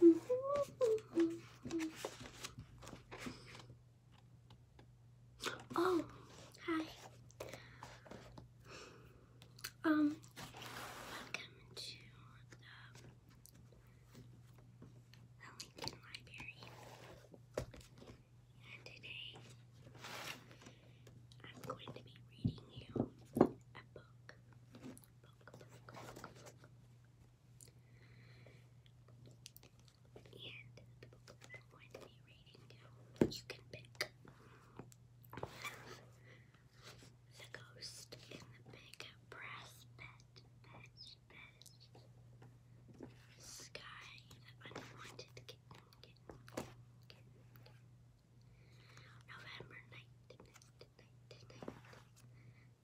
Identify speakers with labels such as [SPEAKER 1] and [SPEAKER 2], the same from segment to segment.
[SPEAKER 1] Oh, hi. Um, welcome to the, Lincoln Library. And today, I'm going to be reading you a book and the book I'm going to be reading now, you can pick. The Ghost in the Big Brass Bed, Sky, the Unwanted Kitten. November 9th, night,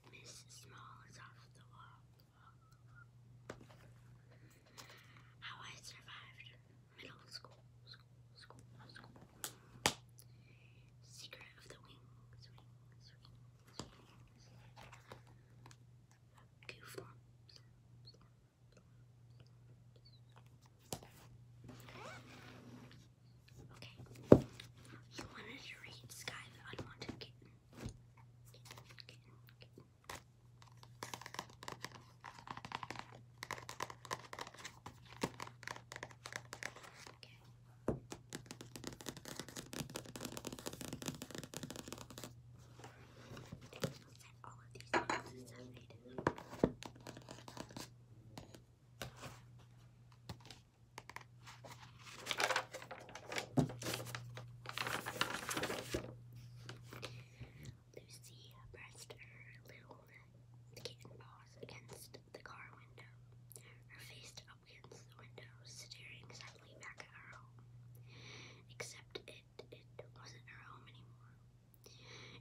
[SPEAKER 1] Miss Small is off the wall. How I survived middle school, Secret of the wings, wings, wings, Okay. You wanted to read Sky the Unwanted Kitten. Kitten, kitten, Okay. Okay. Lucy pressed her little kitten paws against the car window, her face up against the window, staring sadly back at her home. Except it, it wasn't her home anymore.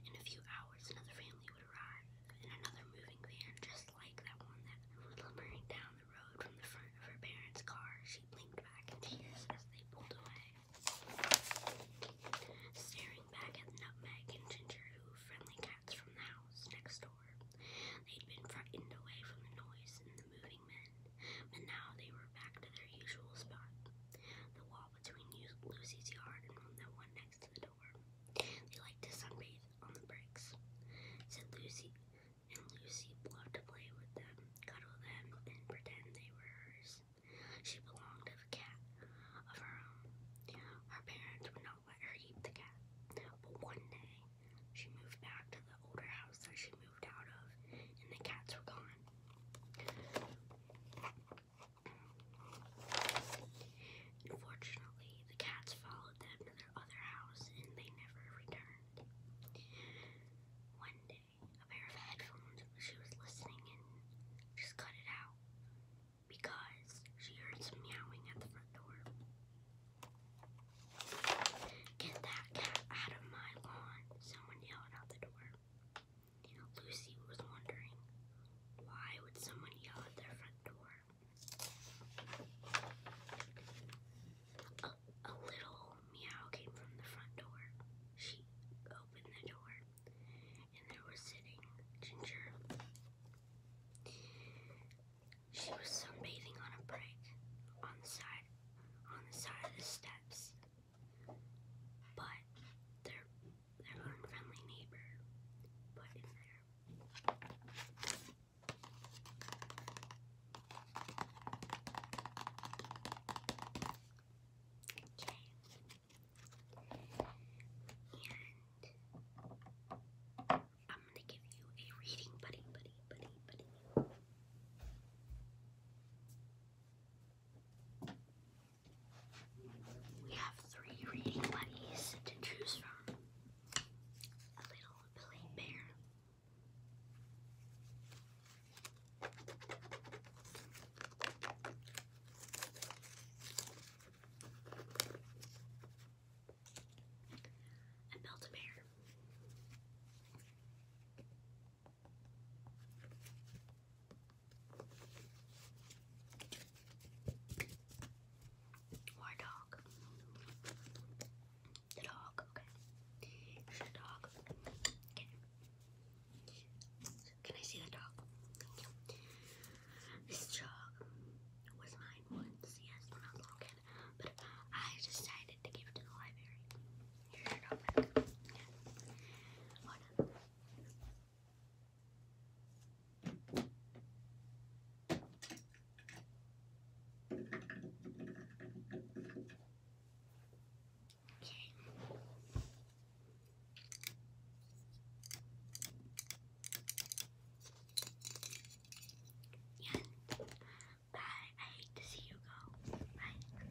[SPEAKER 1] In a few hours, another family would arrive, in another moving van just like that one that lumbering down the road from the front of her parents' car. She blinked back in tears as they pulled away. Staring back at Nutmeg and Ginger, who were friendly cats from the house next door, they'd been frightened away from the noise and the moving men, but now they were back to their usual spot. The wall between Lucy's yard and the one next they liked to sunbathe on the bricks, said Lucy, and Lucy loved to play with them, cuddle them, and pretend they were hers. She belonged to a cat of her own. Her parents would not let her keep the cat, but one day she moved back to the older house that she moved out of, and the cats were gone. Unfortunately, the cats followed them to their other house and they never returned. One day, a pair of headphones she was listening in just cut it out because she heard some meowing at the front door. Get that cat out of my lawn, someone yelled out the door. Lucy was wondering, why would someone yell at their front door? A, little meow came from the front door. She opened the door, and there was sitting Ginger. She was sunbathing on a brick on the side on the side of the steps but their their unfriendly neighbor put in there. Okay. And I'm gonna give you a reading buddy, buddy, buddy, buddy. We have three reading buddies to choose from. A little Billy Bear. A belt bear. More dog. The dog, okay. the dog. Okay. Can I see the dog? Thank you. This dog was mine once, yes, when I was a but I decided to give it to the library. Here's your dog back marijuana. Okay. And bye. I hate to see you go. Bye.